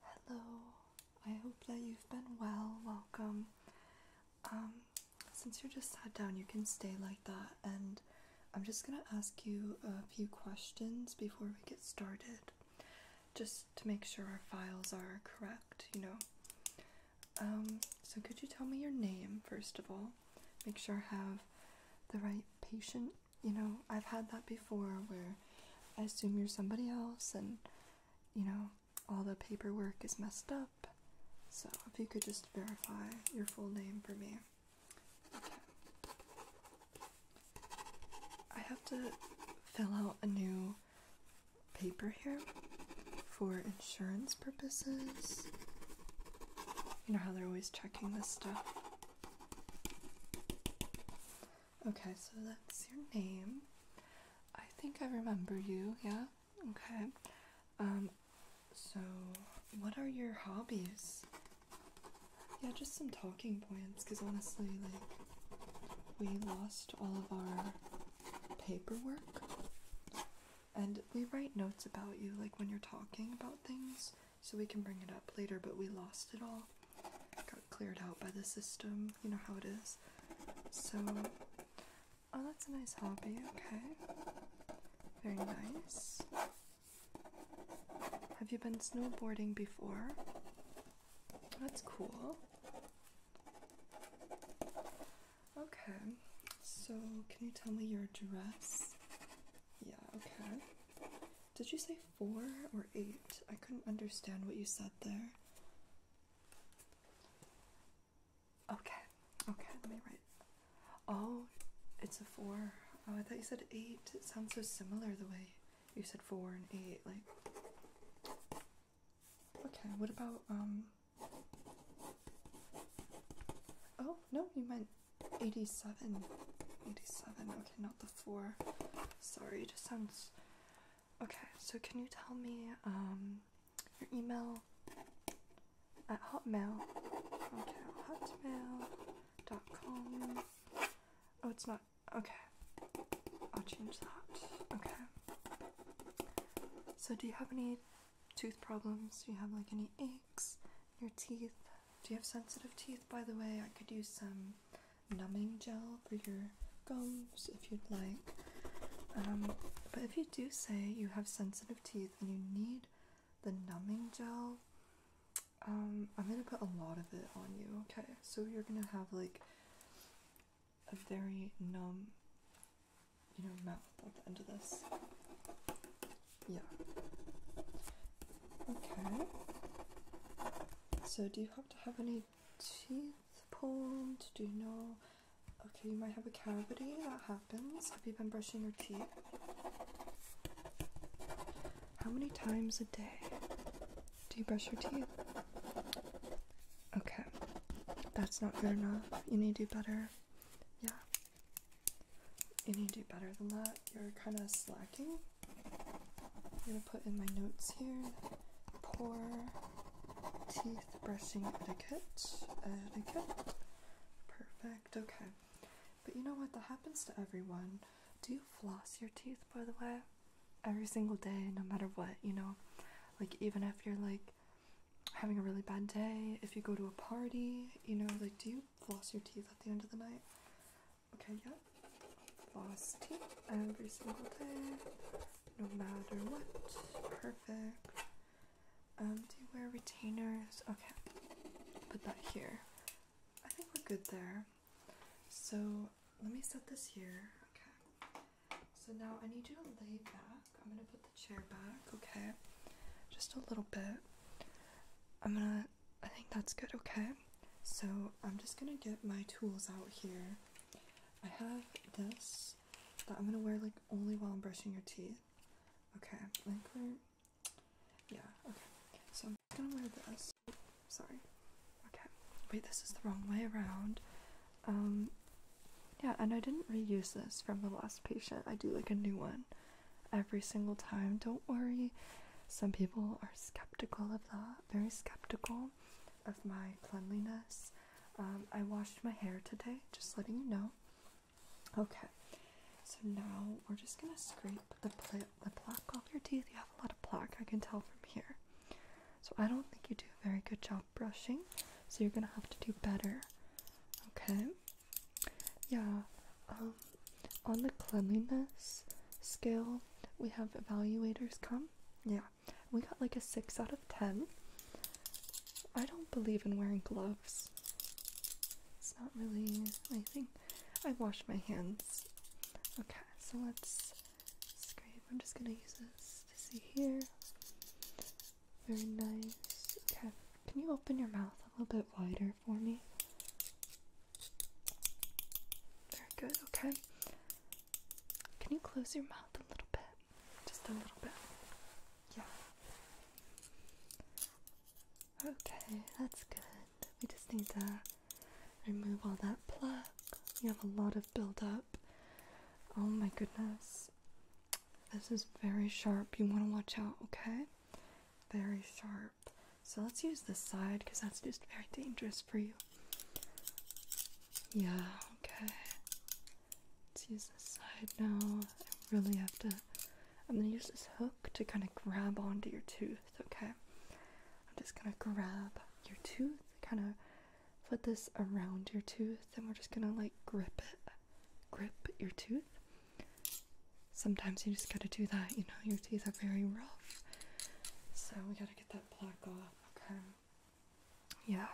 Hello, I hope that you've been well. Welcome. Um, since you're just sat down, you can stay like that, and I'm just gonna ask you a few questions before we get started just to make sure our files are correct, you know. Um, so, could you tell me your name first of all? make sure I have the right patient. You know, I've had that before where I assume you're somebody else and, you know, all the paperwork is messed up. So if you could just verify your full name for me. I have to fill out a new paper here for insurance purposes. You know how they're always checking this stuff? Okay, so that's your name. I think I remember you, yeah? Okay. Um, so, what are your hobbies? Yeah, just some talking points, because honestly, like, we lost all of our paperwork. And we write notes about you, like when you're talking about things, so we can bring it up later, but we lost it all. Got cleared out by the system, you know how it is. So, oh, that's a nice hobby, okay. Very nice. Have you been snowboarding before? That's cool. Okay, so can you tell me your address? Yeah, okay. Did you say four or eight? I couldn't understand what you said there. Okay, okay, let me write. Oh, it's a four. Oh, I thought you said eight. It sounds so similar the way you said four and eight. Like, okay, what about, um, Oh, no, you meant 87. 87, okay, not the 4. Sorry, it just sounds. Okay, so can you tell me um, your email at hotmail? Okay, hotmail.com. Oh, it's not. Okay, I'll change that. Okay. So, do you have any tooth problems? Do you have like any aches? Your teeth? Do you have sensitive teeth? By the way, I could use some numbing gel for your gums if you'd like. Um, but if you do say you have sensitive teeth and you need the numbing gel, um, I'm gonna put a lot of it on you, okay? So you're gonna have like a very numb you know, mouth at the end of this. Yeah. Okay. So, do you have to have any teeth pulled? Do you know? Okay, you might have a cavity. That happens. Have you been brushing your teeth? How many times a day do you brush your teeth? Okay, that's not good enough. You need to do better yeah. need to do better than that. You're kind of slacking. I'm gonna put in my notes here poor teeth brushing etiquette. Etiquette. Perfect, okay. But you know what? That happens to everyone. Do you floss your teeth, by the way? Every single day, no matter what, you know? Like, even if you're like having a really bad day, if you go to a party, you know, like do you floss your teeth at the end of the night? Okay, yeah. Floss teeth every single day, no matter what. Perfect. Um, do you wear retainers? Okay, put that here. I think we're good there. So let me set this here. Okay. So now I need you to lay back. I'm gonna put the chair back, okay? Just a little bit. I'm gonna, I think that's good, okay? So I'm just gonna get my tools out here. I have this that I'm gonna wear like only while I'm brushing your teeth. Okay, I think we're, yeah, okay. So I'm gonna wear this. Sorry. Okay, wait, this is the wrong way around. Um, yeah, and I didn't reuse this from the last patient. I do like a new one every single time. Don't worry. Some people are skeptical of that, very skeptical of my cleanliness. Um, I washed my hair today, just letting you know. Okay, so now we're just gonna scrape the, pla the plaque off your teeth. You have a lot of plaque, I can tell from here. So I don't think you do a very good job brushing, so you're gonna have to do better. Okay? Yeah, um, on the cleanliness scale, we have evaluators come. Yeah, we got like a 6 out of 10. I don't believe in wearing gloves. It's not really my thing. I wash my hands. Okay, so let's scrape. I'm just gonna use this to see here. Very nice. Okay, can you open your mouth a little bit wider for me? Very good, okay. Can you close your mouth a little bit? Just a little bit. Yeah. Okay, that's good. We just need to remove all that plaque. You have a lot of buildup. Oh my goodness this is very sharp. You want to watch out, okay? Very sharp. So let's use this side because that's just very dangerous for you. Yeah, okay. Let's use this side now. I really have to. I'm gonna use this hook to kind of grab onto your tooth, okay? I'm just gonna grab your tooth, kind of put this around your tooth and we're just gonna like grip it grip your tooth sometimes you just gotta do that you know your teeth are very rough so we gotta get that plaque off okay yeah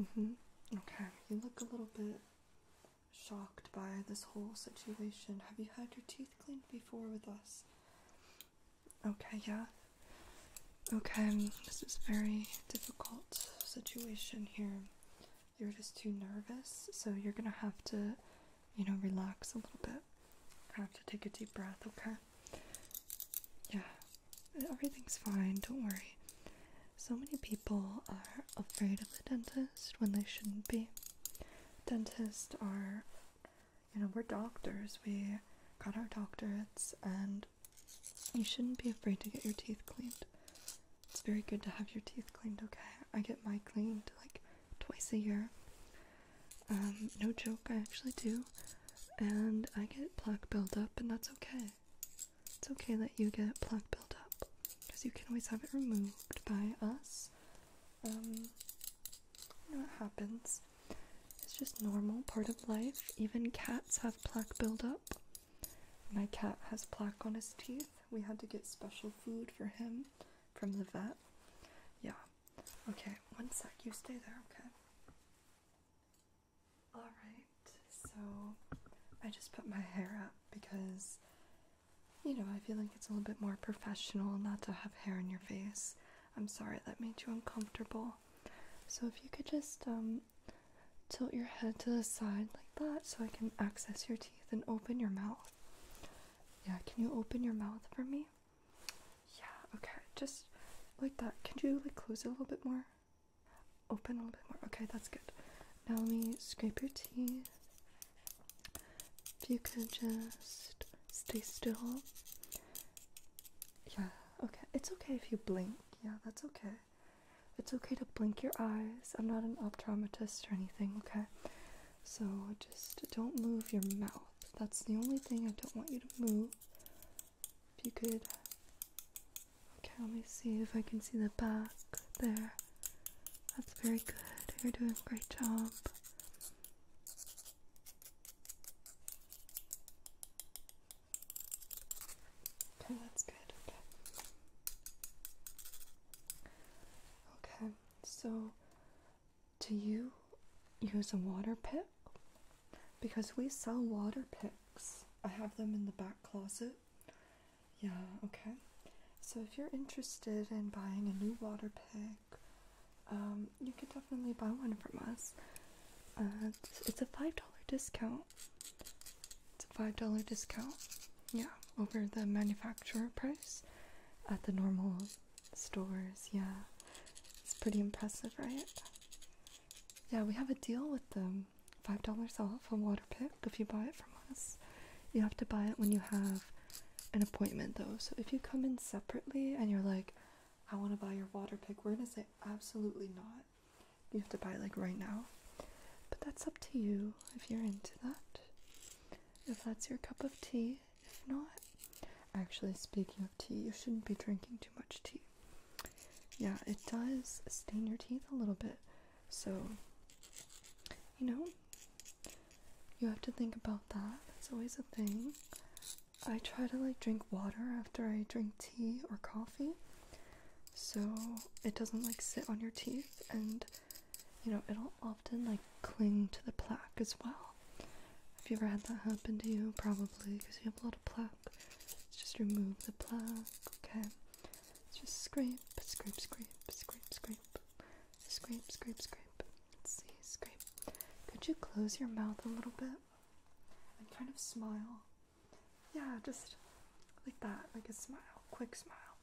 mm-hmm okay you look a little bit shocked by this whole situation have you had your teeth cleaned before with us Okay, yeah. Okay, um, this is very difficult situation here. You're just too nervous, so you're gonna have to, you know, relax a little bit. Have to take a deep breath, okay? Yeah, everything's fine, don't worry. So many people are afraid of the dentist when they shouldn't be. Dentists are, you know, we're doctors, we got our doctorates, and you shouldn't be afraid to get your teeth cleaned. It's very good to have your teeth cleaned, okay? I get my cleaned like twice a year. Um, no joke, I actually do. And I get plaque buildup, and that's okay. It's okay that you get plaque buildup, because you can always have it removed by us. Um, you happens. It's just normal part of life. Even cats have plaque buildup. My cat has plaque on his teeth. We had to get special food for him from the vet. Yeah. Okay, one sec. You stay there, okay? Alright, so I just put my hair up because, you know, I feel like it's a little bit more professional not to have hair in your face. I'm sorry that made you uncomfortable. So if you could just um, tilt your head to the side like that so I can access your teeth and open your mouth. Yeah, can you open your mouth for me? Yeah, okay. Just like that. Can you like close it a little bit more? Open a little bit more. Okay, that's good. Now let me scrape your teeth. If you could just stay still. Yeah, okay. It's okay if you blink. Yeah, that's okay. It's okay to blink your eyes. I'm not an optometrist or anything, okay? So just don't move your mouth. That's the only thing I don't want you to move. If you could. Okay, let me see if I can see the back there. That's very good. You're doing a great job. Okay, that's good. Okay. so do you use a water pick? Because we sell water picks. I have them in the back closet. Yeah, okay. So if you're interested in buying a new water pick um, you could definitely buy one from us. Uh, it's a $5 discount. It's a $5 discount, yeah, over the manufacturer price at the normal stores, yeah. It's pretty impressive, right? Yeah, we have a deal with them. $5 off a water pick if you buy it from us. You have to buy it when you have an appointment though. So if you come in separately and you're like, I want to buy your water pick. We're going to say, absolutely not. You have to buy like right now. But that's up to you if you're into that. If that's your cup of tea. If not, actually, speaking of tea, you shouldn't be drinking too much tea. Yeah, it does stain your teeth a little bit. So, you know, you have to think about that. It's always a thing. I try to like drink water after I drink tea or coffee so it doesn't like sit on your teeth and you know it'll often like cling to the plaque as well. Have you ever had that happen to you? Probably because you have a lot of plaque. Let's just remove the plaque, okay? Let's just scrape, scrape, scrape, scrape, scrape, scrape, scrape, scrape. Let's see, scrape. Could you close your mouth a little bit and kind of smile? Yeah, just like that, like a smile, quick smile.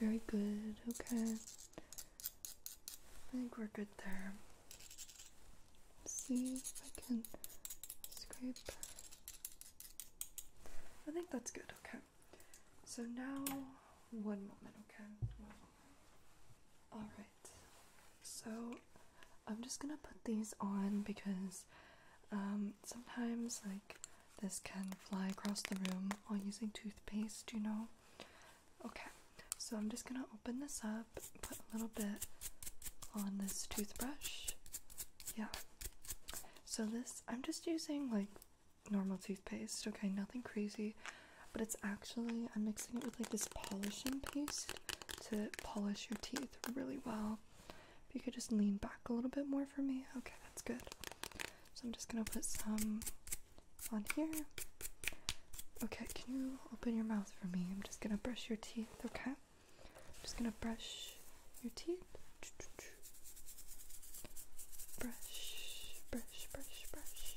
Very good, okay. I think we're good there. Let's see if I can scrape. I think that's good, okay. So now, one moment, okay? Alright so I'm just gonna put these on because um, sometimes, like, this can fly across the room while using toothpaste, you know? Okay, so I'm just gonna open this up, put a little bit on this toothbrush. Yeah. So, this, I'm just using like normal toothpaste, okay? Nothing crazy but it's actually I'm mixing it with like this polishing paste to polish your teeth really well. If you could just lean back a little bit more for me, okay, that's good. So I'm just gonna put some on here. Okay, can you open your mouth for me? I'm just gonna brush your teeth, okay? I'm just gonna brush your teeth. Brush, brush, brush, brush.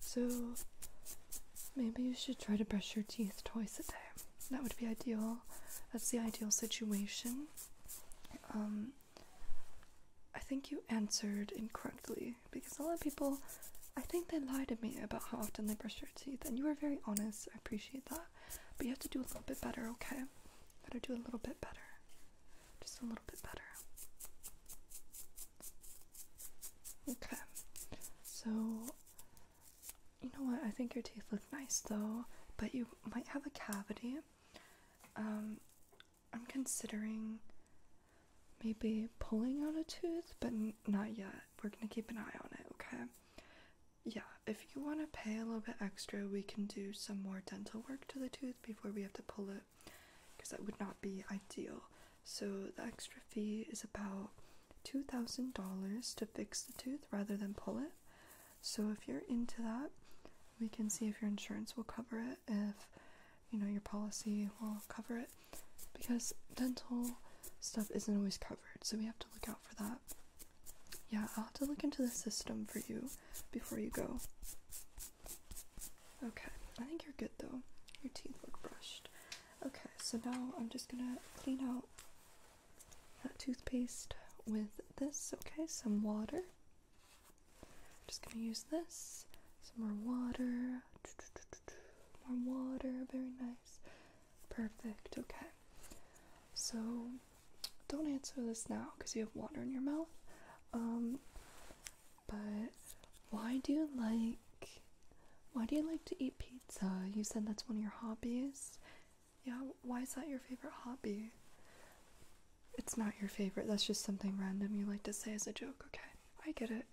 So maybe you should try to brush your teeth twice a day. That would be ideal. That's the ideal situation. Um, I think you answered incorrectly because a lot of people, I think they lie to me about how often they brush their teeth, and you were very honest. I appreciate that. But you have to do a little bit better, okay? Better do a little bit better. Just a little bit better. Okay, so you know what? I think your teeth look nice though, but you might have a cavity. Um, I'm considering maybe pulling out a tooth, but not yet. We're gonna keep an eye on it, okay? Yeah, if you want to pay a little bit extra, we can do some more dental work to the tooth before we have to pull it because that would not be ideal. So the extra fee is about $2,000 to fix the tooth rather than pull it. So if you're into that, we can see if your insurance will cover it, if you know your policy will cover it, because dental stuff isn't always covered, so we have to look out for that. Yeah, I'll have to look into the system for you before you go. Okay, I think you're good though. Your teeth look brushed. Okay, so now I'm just gonna clean out that toothpaste with this, okay? Some water. just gonna use this. Some more water. More water, very nice. Perfect, okay. So don't answer this now because you have water in your mouth. Um, but why do you like why do you like to eat pizza? You said that's one of your hobbies. Yeah, why is that your favorite hobby? It's not your favorite. That's just something random you like to say as a joke. Okay. I get it.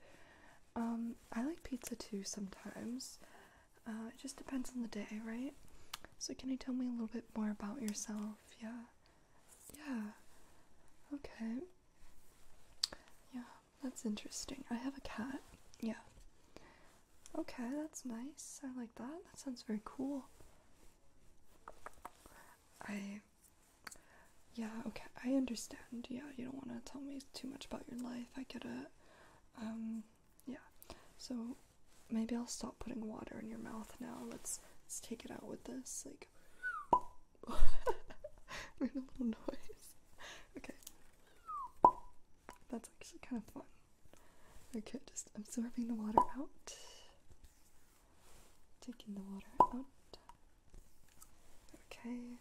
Um I like pizza too sometimes. Uh, it just depends on the day, right? So, can you tell me a little bit more about yourself? Yeah. Yeah. Okay. Yeah, that's interesting. I have a cat. Yeah. Okay, that's nice. I like that. That sounds very cool. I. Yeah, okay, I understand. Yeah, you don't want to tell me too much about your life. I get it. Um, yeah. So maybe I'll stop putting water in your mouth now. Let's let's take it out with this. Like like weird little noise. Okay. That's actually kind of fun. Okay, just absorbing the water out. Taking the water out. Okay.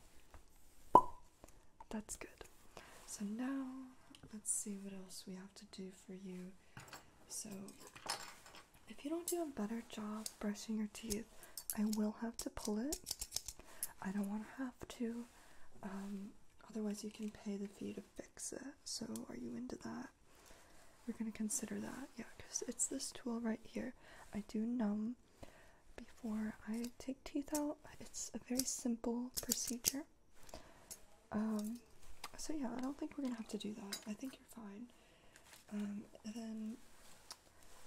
That's good. So now let's see what else we have to do for you. So if you don't do a better job brushing your teeth, I will have to pull it. I don't want to have to. Um, otherwise, you can pay the fee to fix it. So, are you into that? We're going to consider that. Yeah, because it's this tool right here. I do numb before I take teeth out. It's a very simple procedure. Um, so, yeah, I don't think we're going to have to do that. I think you're fine. Um, then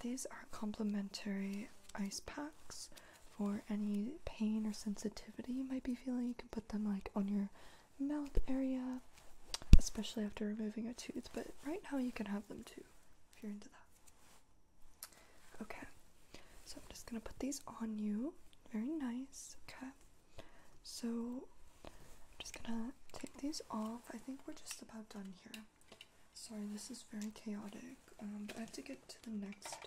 these are complimentary ice packs for any pain or sensitivity you might be feeling. You can put them like on your mouth area, especially after removing a tooth, but right now you can have them too if you're into that. Okay, so I'm just gonna put these on you. Very nice, okay. So I'm just gonna take these off. I think we're just about done here. Sorry, this is very chaotic, but um, I have to get to the next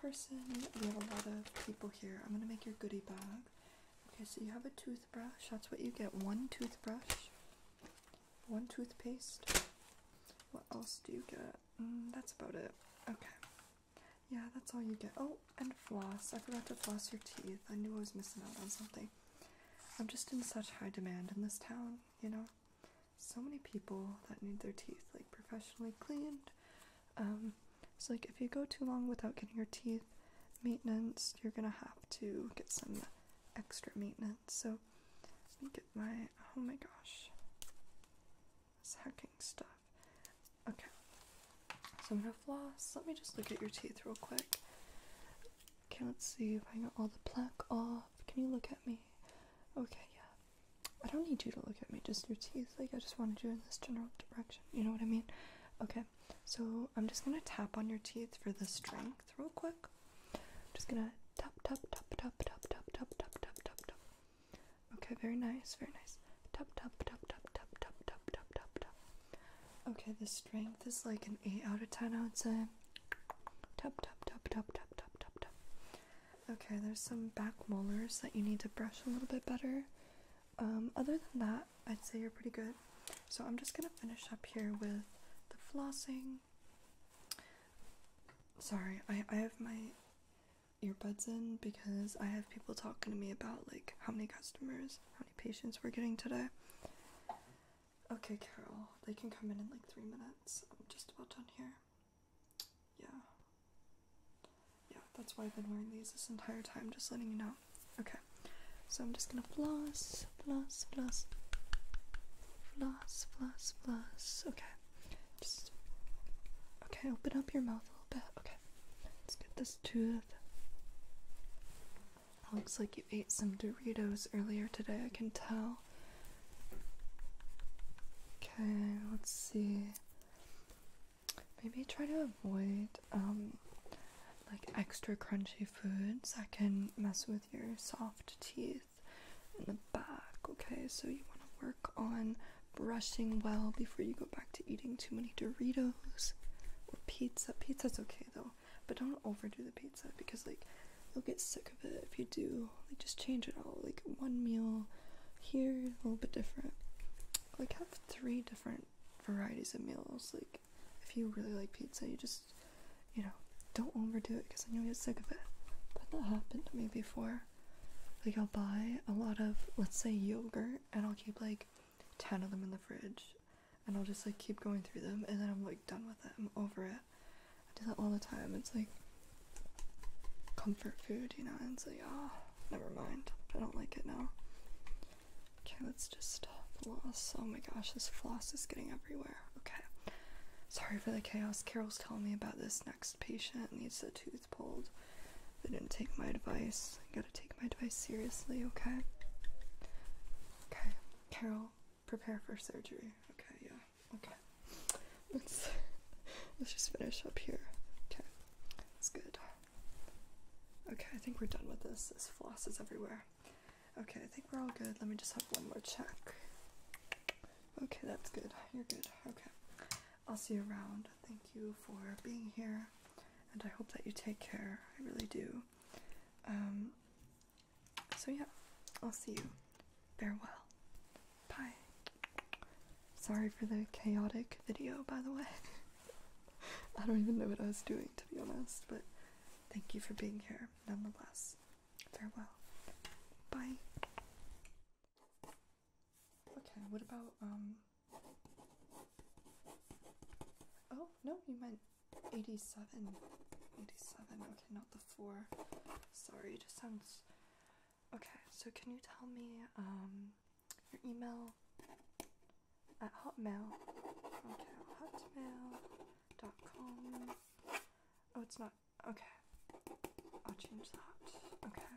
person. We have a lot of people here. I'm gonna make your goodie bag. Okay, so you have a toothbrush. That's what you get. One toothbrush, one toothpaste. What else do you get? Mm, that's about it. Okay. Yeah, that's all you get. Oh, and floss. I forgot to floss your teeth. I knew I was missing out on something. I'm just in such high demand in this town, you know? So many people that need their teeth, like, professionally cleaned. Um, so, like, if you go too long without getting your teeth maintenance, you're gonna have to get some extra maintenance. So, let me get my. Oh my gosh. This hacking stuff. Okay. So I'm gonna floss. Let me just look at your teeth real quick. Okay, let's see if I got all the plaque off. Can you look at me? Okay, yeah. I don't need you to look at me, just your teeth. Like I just wanted you in this general direction. You know what I mean? Okay. So I'm just gonna tap on your teeth for the strength real quick. I'm just gonna tap tap tap tap tap tap tap tap tap tap. Okay, very nice, very nice. Tap tap tap tap tap tap tap tap tap tap. Okay, the strength is like an 8 out of 10, I would say. Tap tap tap tap tap tap tap tap. Okay, there's some back molars that you need to brush a little bit better. Um, other than that, I'd say you're pretty good. So I'm just gonna finish up here with the flossing. Sorry, I, I have my earbuds in because I have people talking to me about like how many customers, patients we're getting today. Okay, Carol, they can come in in like three minutes. I'm just about done here. Yeah. Yeah, that's why I've been wearing these this entire time, just letting you know. Okay, so I'm just gonna floss, floss, floss, floss, floss, floss. Okay, okay. Open up your mouth a little bit. Okay let's get this tooth. Looks like you ate some Doritos earlier today, I can tell. Okay, let's see. Maybe try to avoid um, like extra crunchy foods that can mess with your soft teeth in the back, okay? So you want to work on brushing well before you go back to eating too many Doritos or pizza. Pizza's okay though, but don't overdo the pizza because like you'll get sick of it if you do. Like just change it all. Like one meal here, a little bit different. Like have three different varieties of meals. Like if you really like pizza, you just you know don't overdo it because then you'll get sick of it. But that happened to me before. Like I'll buy a lot of let's say yogurt and I'll keep like 10 of them in the fridge and I'll just like keep going through them and then I'm like done with it. I'm over it. I do that all the time. It's like comfort food, you know, and so yeah, never mind. I don't like it now. Okay, let's just stop floss. Oh my gosh, this floss is getting everywhere. Okay. Sorry for the chaos. Carol's telling me about this next patient needs a tooth tooth pulled. They didn't take my advice. I gotta take my advice seriously, okay? Okay, Carol, prepare for surgery. Okay, yeah, okay. Let's let's just finish up here. Okay, that's good. Okay, I think we're done with this. This floss is everywhere. Okay, I think we're all good. Let me just have one more check. Okay, that's good. You're good. Okay. I'll see you around thank you for being here, and I hope that you take care. I really do. Um, so, yeah, I'll see you. Farewell. Bye. Sorry for the chaotic video, by the way. I don't even know what I was doing, to be honest, but thank you for being here nonetheless. Farewell. Bye. Okay, what about, um. Oh, no, you meant 87. 87, okay, not the 4. Sorry, it just sounds. Okay, so can you tell me, um, your email at hotmail? dot com. Oh, it's not. Okay. I'll change that. Okay.